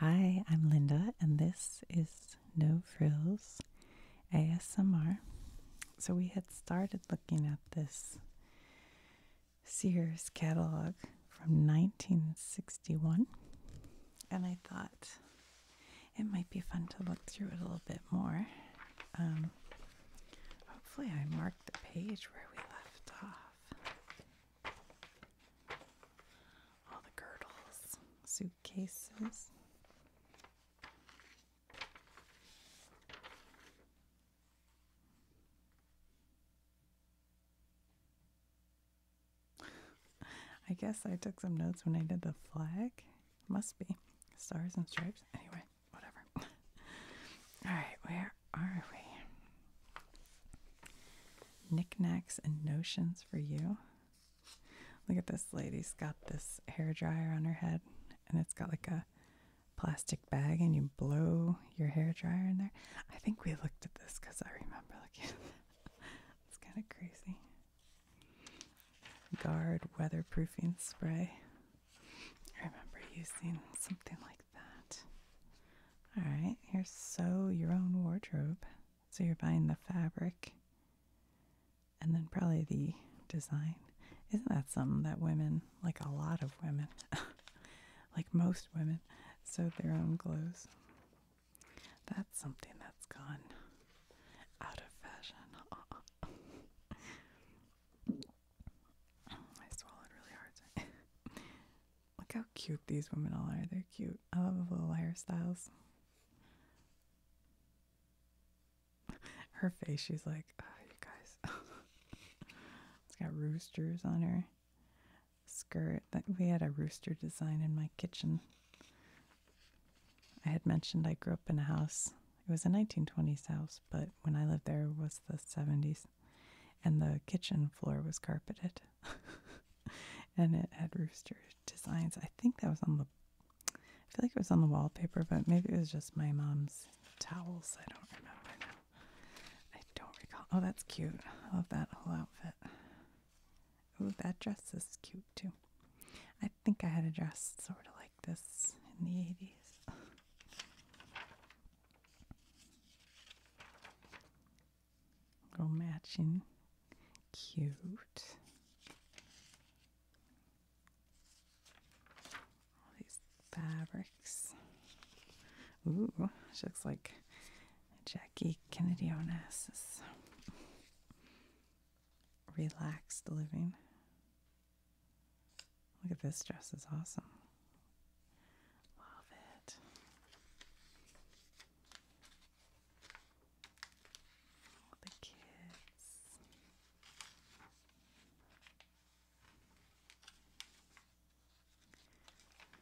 Hi, I'm Linda, and this is No Frills ASMR. So, we had started looking at this Sears catalog from 1961, and I thought it might be fun to look through it a little bit more. Um, hopefully, I marked the page where we left off. All the girdles, suitcases. I guess I took some notes when I did the flag. Must be. Stars and stripes. Anyway, whatever. All right, where are we? knickknacks and notions for you. Look at this lady's got this hair dryer on her head, and it's got like a plastic bag, and you blow your hair dryer in there. I think we looked at this because I remember looking at that. It's kind of crazy. Guard weatherproofing spray. I remember using something like that. All right, here's sew your own wardrobe. So you're buying the fabric and then probably the design. Isn't that something that women, like a lot of women, like most women, sew their own clothes? That's something that's gone out of fashion. I swallowed really hard. Look how cute these women all are. They're cute. I love the little hairstyles. Her face, she's like, oh, you guys. it's got roosters on her skirt. That we had a rooster design in my kitchen. I had mentioned I grew up in a house. It was a 1920s house, but when I lived there was the 70s, and the kitchen floor was carpeted. and it had rooster designs. I think that was on the I feel like it was on the wallpaper, but maybe it was just my mom's towels. I don't remember now. I don't recall. Oh, that's cute. I love that whole outfit. Oh, that dress is cute too. I think I had a dress sort of like this in the 80s. Little matching. Cute. All these fabrics. Ooh, she looks like Jackie Kennedy Onassis. Relaxed living. Look at this dress is awesome. Love it the kids.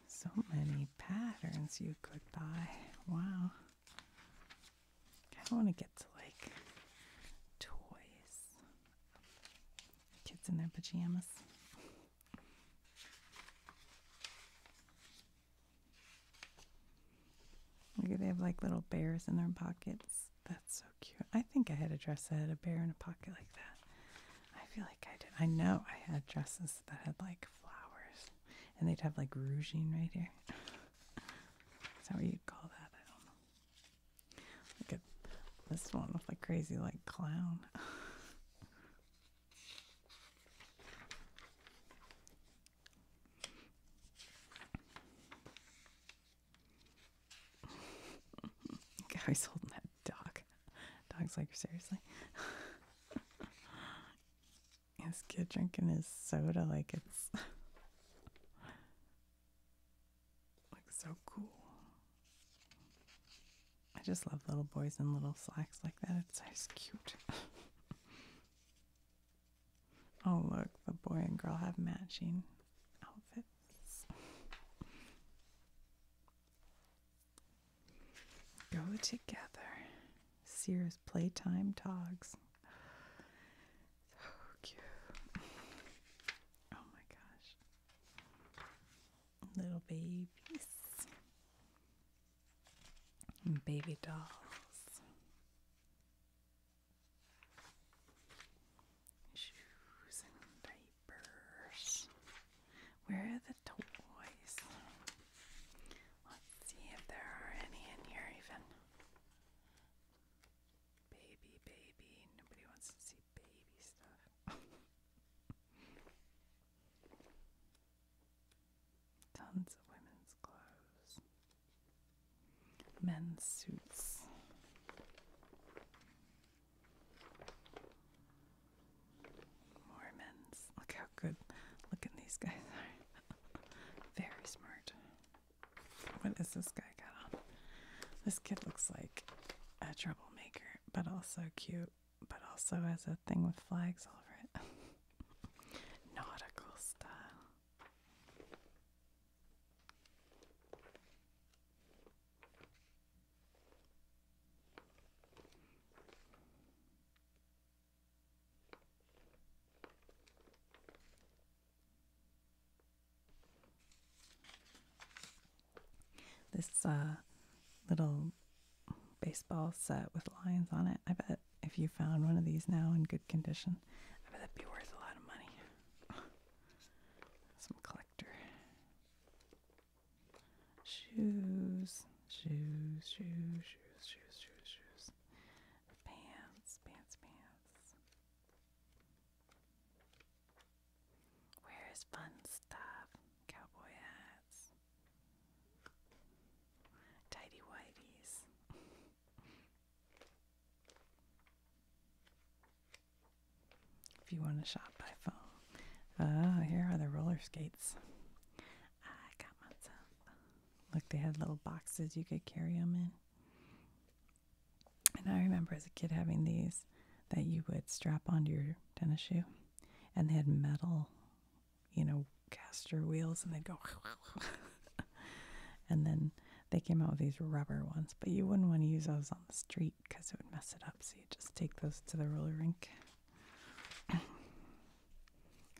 So many patterns you could buy. Wow. I want to get to like toys. Kids in their pajamas. Look, at they have like little bears in their pockets. That's so cute. I think I had a dress that had a bear in a pocket like that. I feel like I did. I know I had dresses that had like flowers, and they'd have like rouging right here. Is that what you'd call that? I don't know. Look at this one with a crazy like clown. Guy's holding that dog. Dog's like, seriously? this kid drinking his soda like it's like so cool. I just love little boys in little slacks like that. It's so cute. oh, look, the boy and girl have matching outfits. Go together. Sears Playtime Togs. So cute. Oh my gosh. Little babies and baby dolls. Shoes diapers. Where are the toys? Let's see if there are any in here, even. Baby, baby. Nobody wants to see baby stuff. Tons of women's clothes, men's suits. More Look how good looking these guys are. Very smart. What is this guy got on? This kid looks like a troublemaker, but also cute but also as a thing with flags all over it. Nautical style. This uh, little baseball set with lions on it. I bet if you found one of these now in good condition, I bet that'd be worth a lot of money. Some collector. Shoes, shoes, shoes, shoes, shoes, shoes, shoes. Pants, pants, pants. Where's fun stuff? Cowboy hat tidy whities. if you want to shop by phone, ah, here are the roller skates. I got myself. Look, they had little boxes you could carry them in. And I remember as a kid having these that you would strap onto your tennis shoe, and they had metal you know, caster wheels and they'd go and then they came out with these rubber ones, but you wouldn't want to use those on the street because it would mess it up. So you just take those to the roller rink. oh,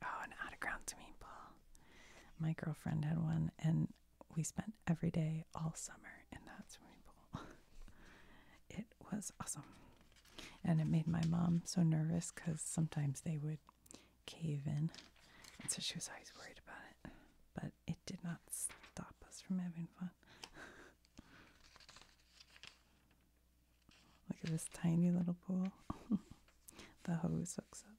an autoground swimming pool. My girlfriend had one, and we spent every day all summer in that swimming pool. it was awesome. And it made my mom so nervous because sometimes they would cave in. And so she was always worried about it. But it did not stop us from having fun. Look at this tiny little pool. the hose hooks up.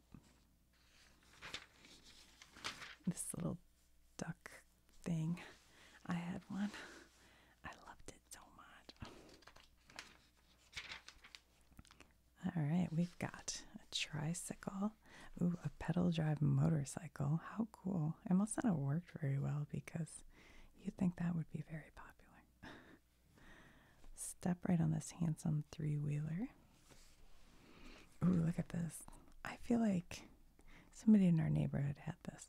This little duck thing. I had one. I loved it so much. All right, we've got a tricycle. Ooh, a pedal drive motorcycle. How cool. It must not have worked very well because you'd think that would be very popular. Step right on this handsome three wheeler. Ooh, look at this. I feel like somebody in our neighborhood had this.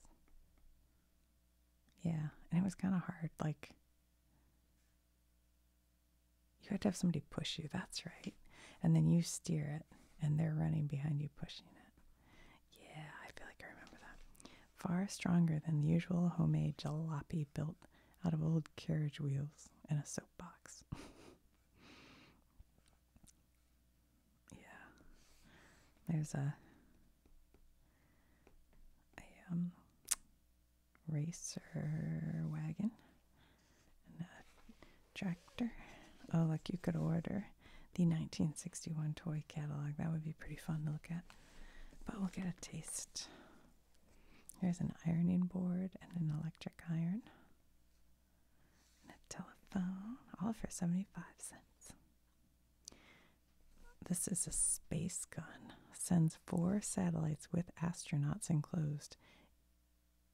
Yeah, and it was kind of hard. Like, you had to have somebody push you, that's right. And then you steer it, and they're running behind you, pushing it. Yeah, I feel like I remember that. Far stronger than the usual homemade jalopy built out of old carriage wheels and a soapbox. yeah. There's a a racer wagon a tractor. Oh, look, you could order the 1961 toy catalog. That would be pretty fun to look at. But we'll get a taste. Here's an ironing board and an electric iron. And a telephone, all for 75 cents. This is a space gun. Sends four satellites with astronauts enclosed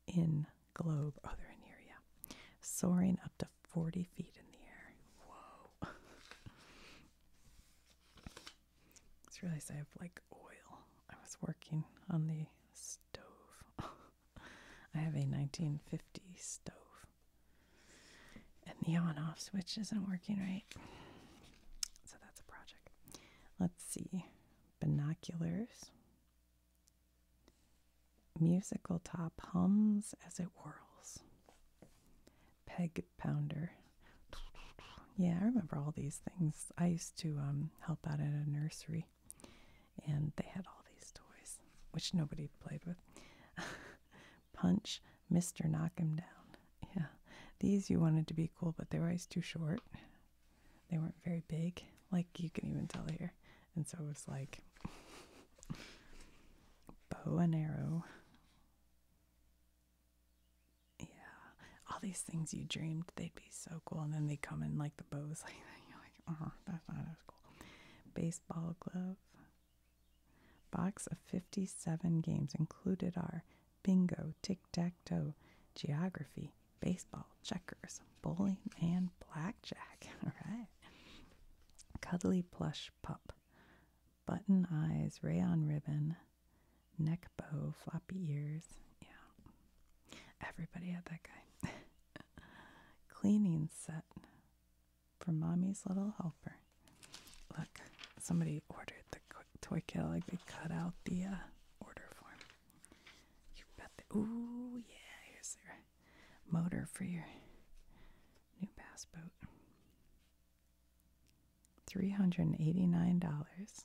in globe. Oh, they're in here, yeah. Soaring up to 40 feet in the air. Whoa. just realized I have like oil. I was working on the stove. I have a 1950 stove and the on-off switch isn't working right. So that's a project. Let's see. Binoculars. Musical top hums as it whirls. Peg pounder. Yeah, I remember all these things. I used to um, help out at a nursery, and they had all these toys, which nobody played with. punch Mr. Knock Him Down. Yeah, these you wanted to be cool, but they were always too short. They weren't very big, like you can even tell here. And so it was like bow and arrow. Yeah, all these things you dreamed they'd be so cool, and then they come in like the bows like You're like, oh, that's not as cool. Baseball glove. Box of 57 games included are bingo, tic tac toe, geography, baseball, checkers, bowling, and blackjack. All right. Cuddly plush pup, button eyes, rayon ribbon, neck bow, floppy ears. Yeah. Everybody had that guy. Cleaning set for mommy's little helper. Look, somebody ordered the toy catalog. They cut out the uh, order form. You got The, ooh, yeah. your motor for your new bass boat. Three hundred and eighty-nine dollars.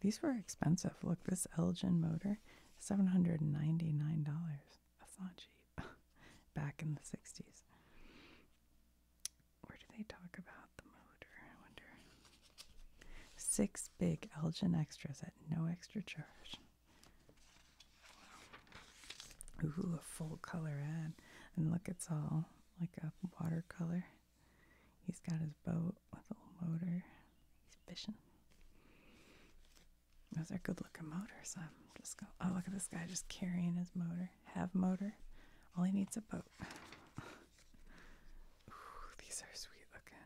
These were expensive. Look, this Elgin motor, seven hundred and ninety-nine dollars. That's not cheap. Back in the sixties. Where do they talk about the motor? I wonder. Six big Elgin extras at no extra charge. Ooh, a full color ad. And look, it's all like a watercolor. He's got his boat with a little motor. He's fishing. Those are good looking motors. I'm just going. Oh, look at this guy just carrying his motor have motor. All he needs a boat. these are sweet looking.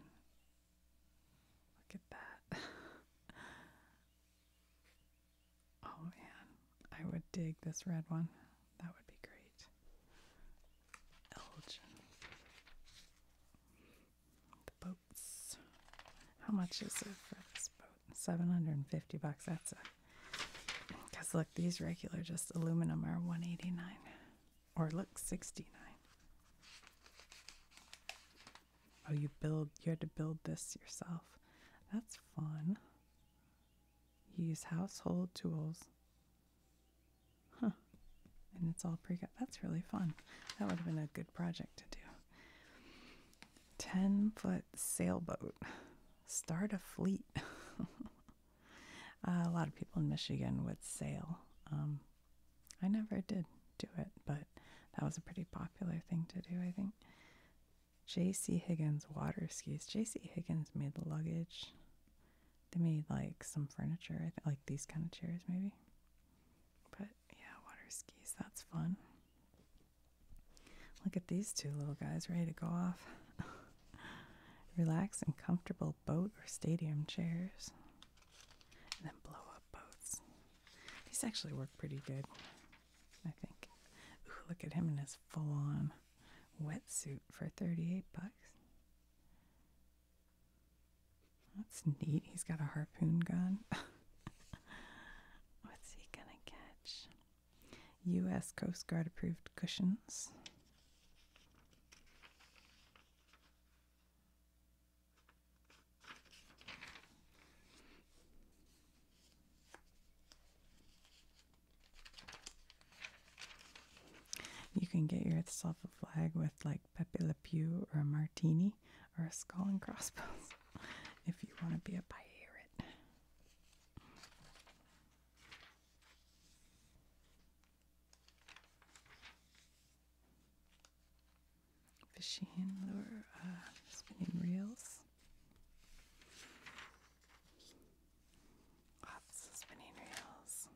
Look at that. oh man, I would dig this red one. That would be great. Elgin. The boats. How much is it for this boat? 750 bucks. That's it. Because look, these regular just aluminum are 189 or look 69. Oh, you build, you had to build this yourself. That's fun. Use household tools. Huh. And it's all pre cut. That's really fun. That would have been a good project to do. 10 foot sailboat. Start a fleet. a lot of people in Michigan would sail. Um, I never did do it, but that was a pretty popular thing to do, I think. J.C. Higgins water skis. J.C. Higgins made the luggage. They made like some furniture, like these kind of chairs, maybe. But yeah, water skis, that's fun. Look at these two little guys ready to go off. Relax in comfortable boat or stadium chairs. And then blow up boats. These actually work pretty good, I think. look at him in his full on wetsuit for 38 bucks. That's neat. He's got a harpoon gun. What's he gonna catch? U.S. Coast Guard approved cushions. You can get yourself a flag with like Pepe Le Pew or a martini or a skull and crossbones if you want to be a pirate. Fishing lure, uh, spinning reels. Lots of spinning reels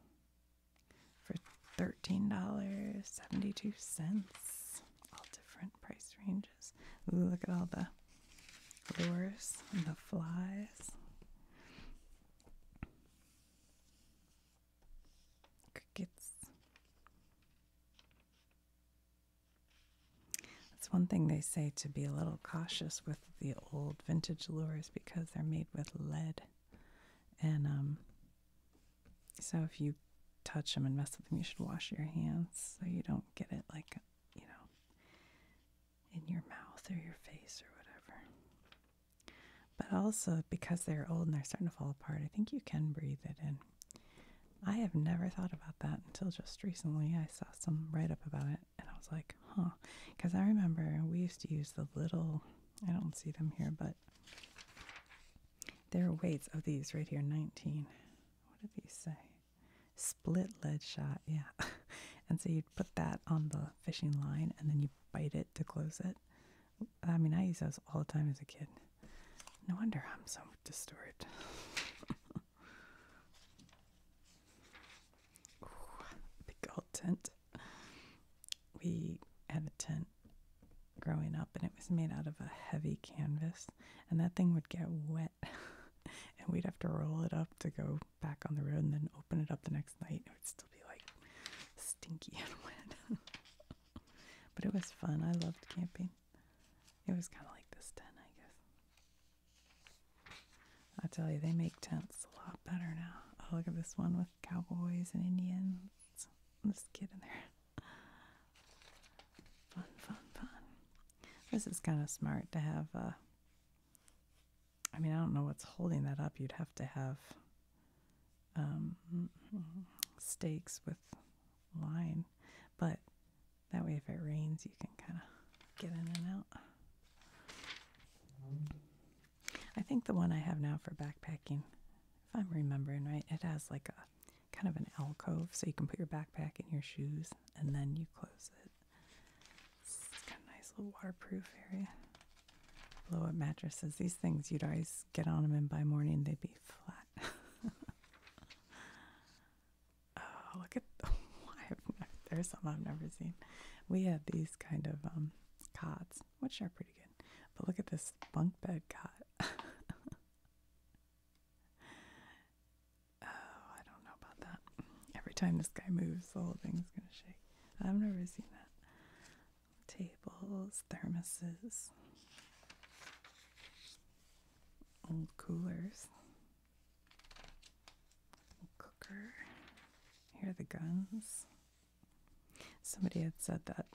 for $13.72. All different price ranges look at all the lures and the flies. Crickets. That's one thing they say to be a little cautious with the old vintage lures because they're made with lead. And um, so if you touch them and mess with them, you should wash your hands so you don't get it like you know, in your mouth or your face or whatever. But also because they're old and they're starting to fall apart, I think you can breathe it in. I have never thought about that until just recently. I saw some write up about it and I was like, huh. Because I remember we used to use the little, I don't see them here, but there are weights of these right here 19. What do these say? Split lead shot, yeah. and so you'd put that on the fishing line and then you bite it to close it. I mean, I used those all the time as a kid. No wonder I'm so disturbed. big old tent. We had a tent growing up and it was made out of a heavy canvas and that thing would get wet and we'd have to roll it up to go back on the road and then open it up the next night. It would still be like stinky and wet. but it was fun. I loved camping. It was kind of like this tent, I guess. I tell you, they make tents a lot better now. Oh, look at this one with cowboys and Indians. Let's get in there. Fun, fun, fun. This is kind of smart to have. Uh, I mean, I don't know what's holding that up. You'd have to have um, stakes with line, but that way, if it rains, you can kind of get in and out. I think the one I have now for backpacking, if I'm remembering right, it has like a kind of an alcove so you can put your backpack in your shoes and then you close it. It's got nice little waterproof area. Blow up mattresses. These things you'd always get on them, and by morning they'd be flat. oh, look at the, oh, there's some I've never seen. We had these kind of um, cots, which are pretty good, but look at this bunk bed cot. Oh, I don't know about that. Every time this guy moves, the whole thing's gonna shake. I've never seen that. Tables, thermoses, old coolers, cooker. Here are the guns. Somebody had said that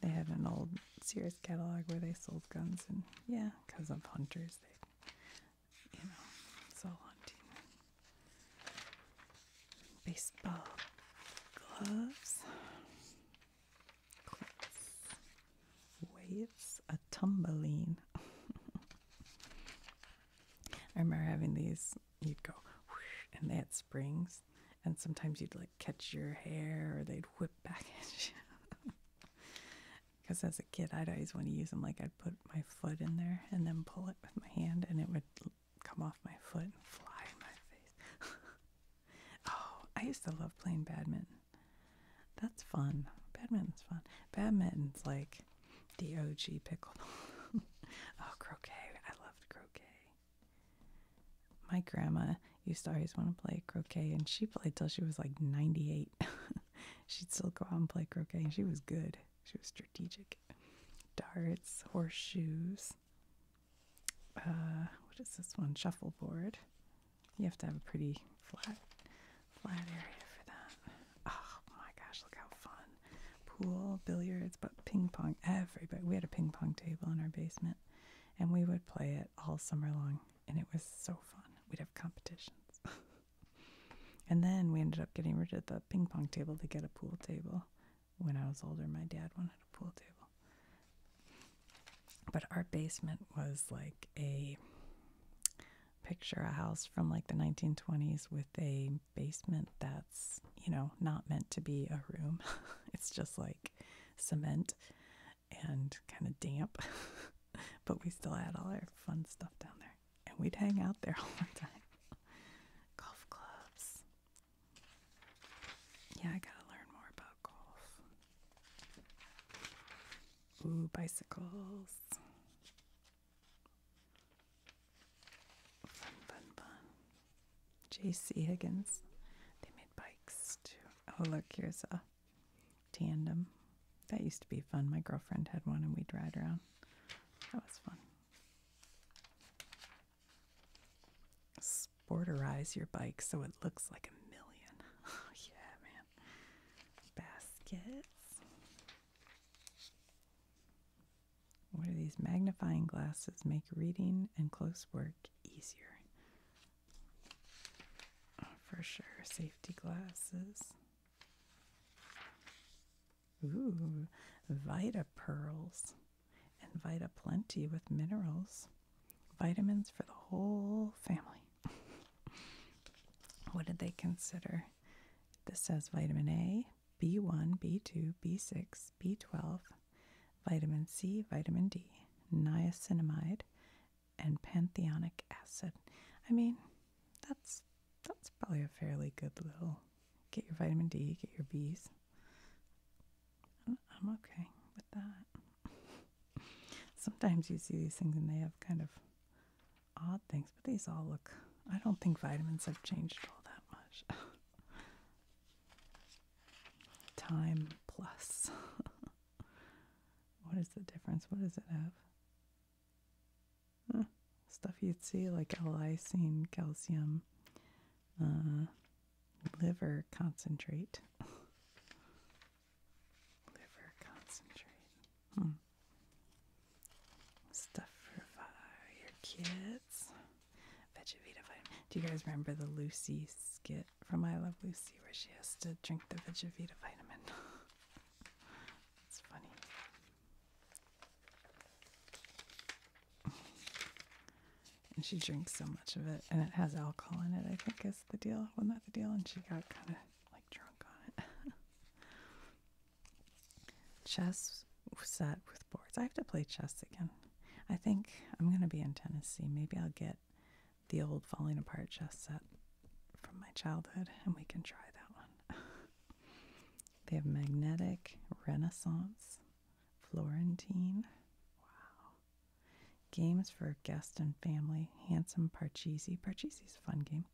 they had an old Sears catalog where they sold guns, and yeah, because of hunters, you know, it's all hunting. Baseball gloves, clips, waves, a tumbling. I remember having these, you'd go and they had springs, and sometimes you'd like catch your hair or they'd whip back at you. Because as a kid, I'd always want to use them. Like I'd put my foot in there and then pull it with my hand, and it would come off my foot and fly in my face. oh, I used to love playing badminton. That's fun. Badminton's fun. Badminton's like the OG pickleball. oh, croquet. I loved croquet. My grandma used to always want to play croquet, and she played till she was like 98 she she'd still go out and play croquet. She was good. She was strategic. Darts, horseshoes. Uh, what is this one? Shuffleboard. You have to have a pretty flat, flat area for that. Oh my gosh, look how fun! Pool, billiards, but ping pong. Everybody. We had a ping pong table in our basement, and we would play it all summer long, and it was so fun. We'd have competitions. And then we ended up getting rid of the ping pong table to get a pool table. When I was older, my dad wanted a pool table. But our basement was like a picture a house from like the 1920s with a basement that's, you know, not meant to be a room. it's just like cement and kind of damp. but we still had all our fun stuff down there. And we'd hang out there all the time. Golf clubs. Yeah, I gotta learn more about golf. Ooh, bicycles. Fun, fun, fun. J.C. Higgins. They made bikes too. Oh, look, here's a tandem. That used to be fun. My girlfriend had one and we'd ride around. That was fun. Sporterize your bike so it looks like a million. Oh, yeah, man. Baskets. What do these magnifying glasses make reading and close work easier? Oh, for sure, safety glasses. Ooh, Vita Pearls and Vita Plenty with minerals. Vitamins for the whole family. what did they consider? This says vitamin A, B1, B2, B6, B12, vitamin C, vitamin D, niacinamide, and pantheonic acid. I mean, that's that's probably a fairly good little get your vitamin D, get your B's. I'm okay with that. Sometimes you see these things and they have kind of odd things, but these all look. I don't think vitamins have changed all that much. Time plus. what is the difference? What does it have? stuff you'd see like lysine calcium, uh, liver concentrate. liver concentrate. Hmm. Stuff for your kids. Vegevita Do you guys remember the Lucy skit from I Love Lucy where she has to drink the Vegevita vitamin? It's funny. And she drinks so much of it, and it has alcohol in it. I think is the deal. Wasn't that the deal? And she got kind of like drunk on it. chess set with boards. I have to play chess again. I think I'm gonna be in Tennessee. Maybe I'll get the old falling apart chess set from my childhood, and we can try that one. they have magnetic, renaissance, Florentine. Wow. Games for guest and family, handsome Parcheesi. Parcheesi's a fun game.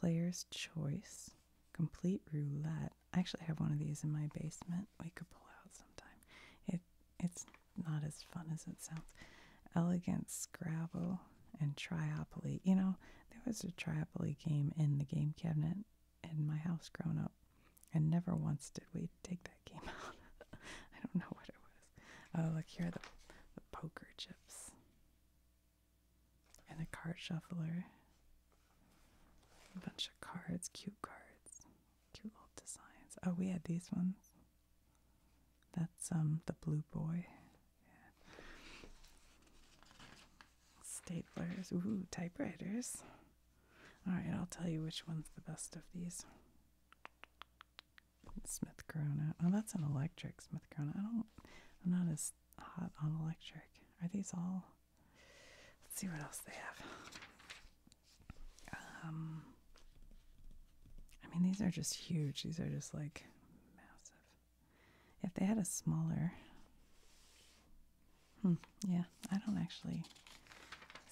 Player's choice, complete roulette. I actually have one of these in my basement. We could pull out sometime. It it's not as fun as it sounds. Elegant Scrabble and Triopoly. You know, there was a Triopoly game in the game cabinet in my house growing up, and never once did we take that game out. I don't know what it was. Oh, look, here are the, the poker chips and a card shuffler. A bunch of cards, cute cards, cute little designs. Oh, we had these ones. That's um the blue boy. Yeah. Staplers, ooh, typewriters. All right, I'll tell you which one's the best of these. Smith Corona. Oh, that's an electric Smith Corona. I don't. I'm not as hot on electric. Are these all? Let's see what else they have. Um. I mean, these are just huge. These are just like massive. If they had a smaller, hmm, yeah, I don't actually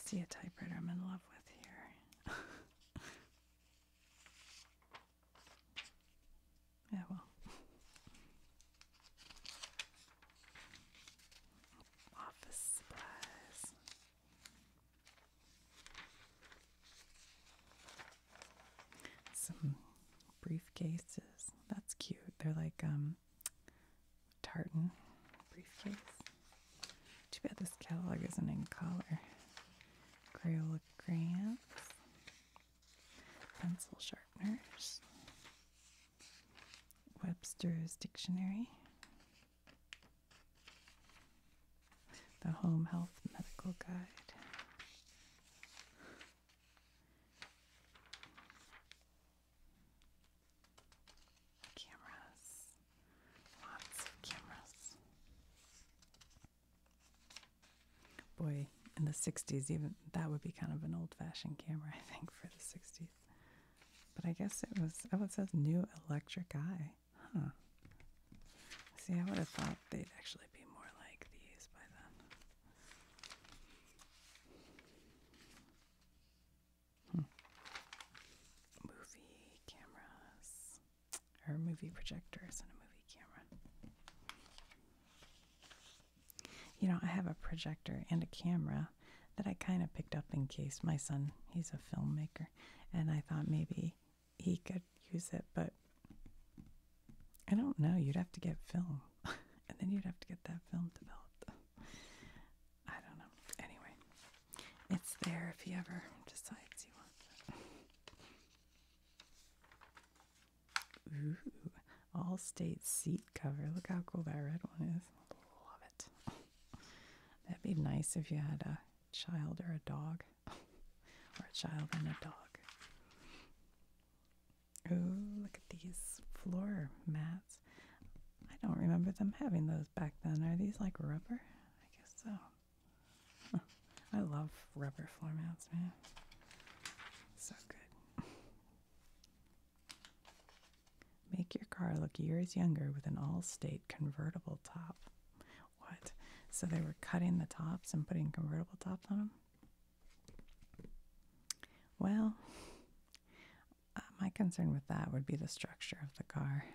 see a typewriter I'm in love with here. yeah, well. Office supplies. Some briefcases. That's cute. They're like um, tartan briefcases. Too bad this catalog isn't in color. Crayola crayons, pencil sharpeners, Webster's dictionary the Home Health Medical Guide. Cameras, lots of cameras. Boy, in the 60s, even that would be kind of an old fashioned camera, I think, for the 60s. But I guess it was, oh, it says new electric eye. Huh. See, I would have thought they'd actually be more like these by then. Hmm. Movie cameras. Or movie projectors and a movie camera. You know, I have a projector and a camera that I kind of picked up in case my son, he's a filmmaker, and I thought maybe he could use it, but I don't know. You'd have to get film, and then you'd have to get that film developed. I don't know. Anyway, it's there if he ever decides he wants it. Ooh, all state seat cover. Look how cool that red one is. Love it. That'd be nice if you had a child or a dog. or a child and a dog. Ooh, look at these floor mats. I don't remember them having those back then. Are these like rubber? I guess so. I love rubber floor mats, man. So good. Make your car look years younger with an all state convertible top. What? So they were cutting the tops and putting convertible tops on them? Well, uh, my concern with that would be the structure of the car.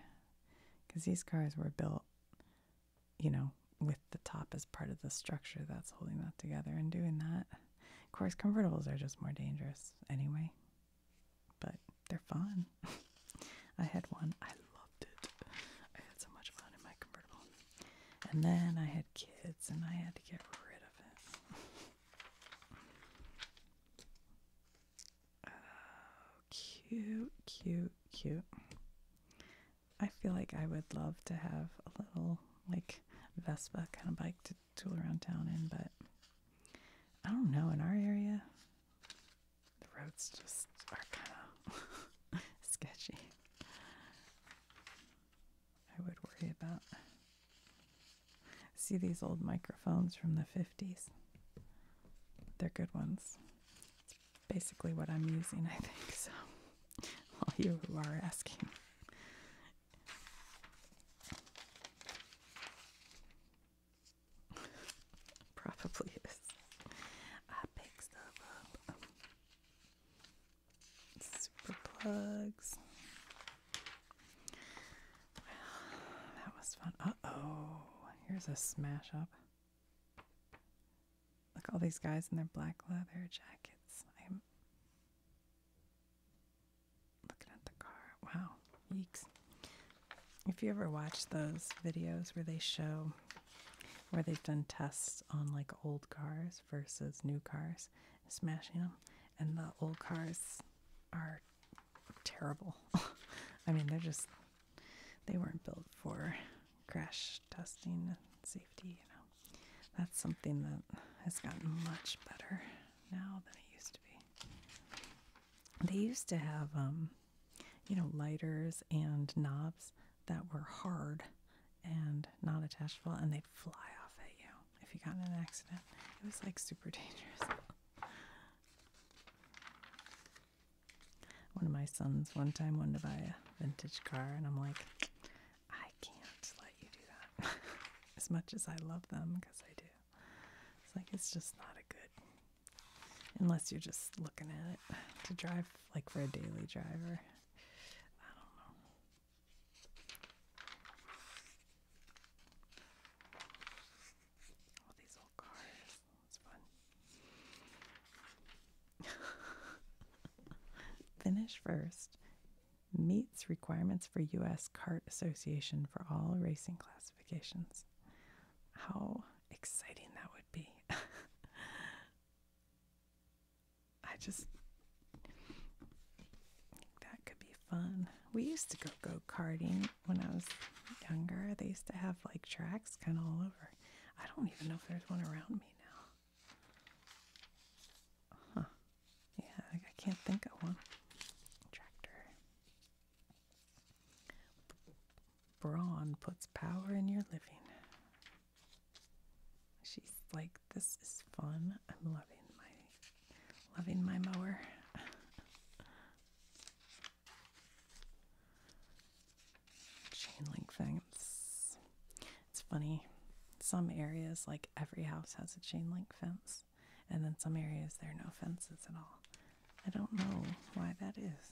Because these cars were built, you know, with the top as part of the structure that's holding that together and doing that. Of course, convertibles are just more dangerous anyway, but they're fun. I had one. I I had so much fun in my convertible. And then I had kids and I had to get rid of it. cute, cute, cute. I feel like I would love to have a little like Vespa kind of bike to tool around town in, but I don't know in our area. The roads just are kind of sketchy. I would worry about. See these old microphones from the 50s? They're good ones. It's basically what I'm using, I think, so all you are asking. Probably is. I picks the book Super plugs. Well, that was fun. Uh oh, here's a smash up. Look, all these guys in their black leather jackets. I'm looking at the car. Wow, yeeks. If you ever watch those videos where they show where they've done tests on like old cars versus new cars, smashing them, and the old cars are terrible. I mean, they're just they weren't built for crash testing and safety. You know, that's something that has gotten much better now than it used to be. They used to have um, you know, lighters and knobs that were hard and not attachable and they'd fly off at you if you got in an accident. It was like super dangerous. One of my sons one time wanted to buy a vintage car and I'm like, I can't let you do that. as much as I love them, because I do. It's like it's just not a good Unless you're just looking at it to drive, like for a daily driver. I don't know. All these old cars. It's fun. Finish first. Meets requirements for U.S. Kart Association for all racing classifications. How exciting that would be! I just that could be fun. We used to go go karting when I was younger. They used to have like tracks kind of all over. I don't even know if there's one around me now. Huh. Yeah, I, I can't think of one. Tractor. Brawn puts power in your living. She's like, this is fun. I'm loving my loving my mower. Chain link fence. It's funny. Some areas, like every house has a chain link fence, and then some areas there are no fences at all. I don't know why that is.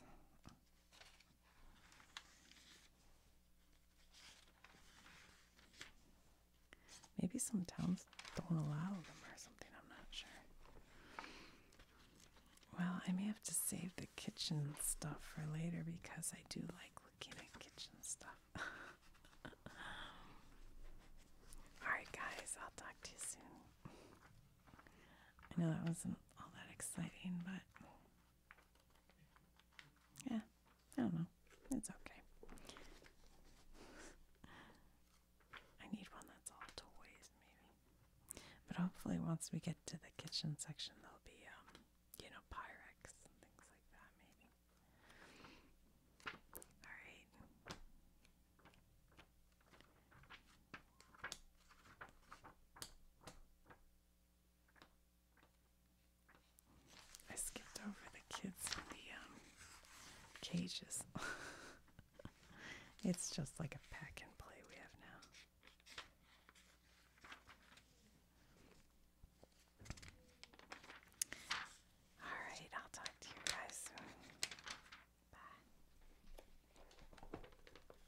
Maybe some towns don't allow them or something, I'm not sure. Well, I may have to save the kitchen stuff for later because I do like looking at kitchen stuff. Alright, guys, I'll talk to you soon. I know that wasn't all that exciting, but yeah, I don't know. It's okay. I need one that's all toys, maybe. But hopefully, once we get to the kitchen section, there'll be, um, you know, Pyrex and things like that, maybe. Alright. I skipped over the kids in the um, cages. it's just like a pack and play we have now. Alright, I'll talk to you guys soon. Bye.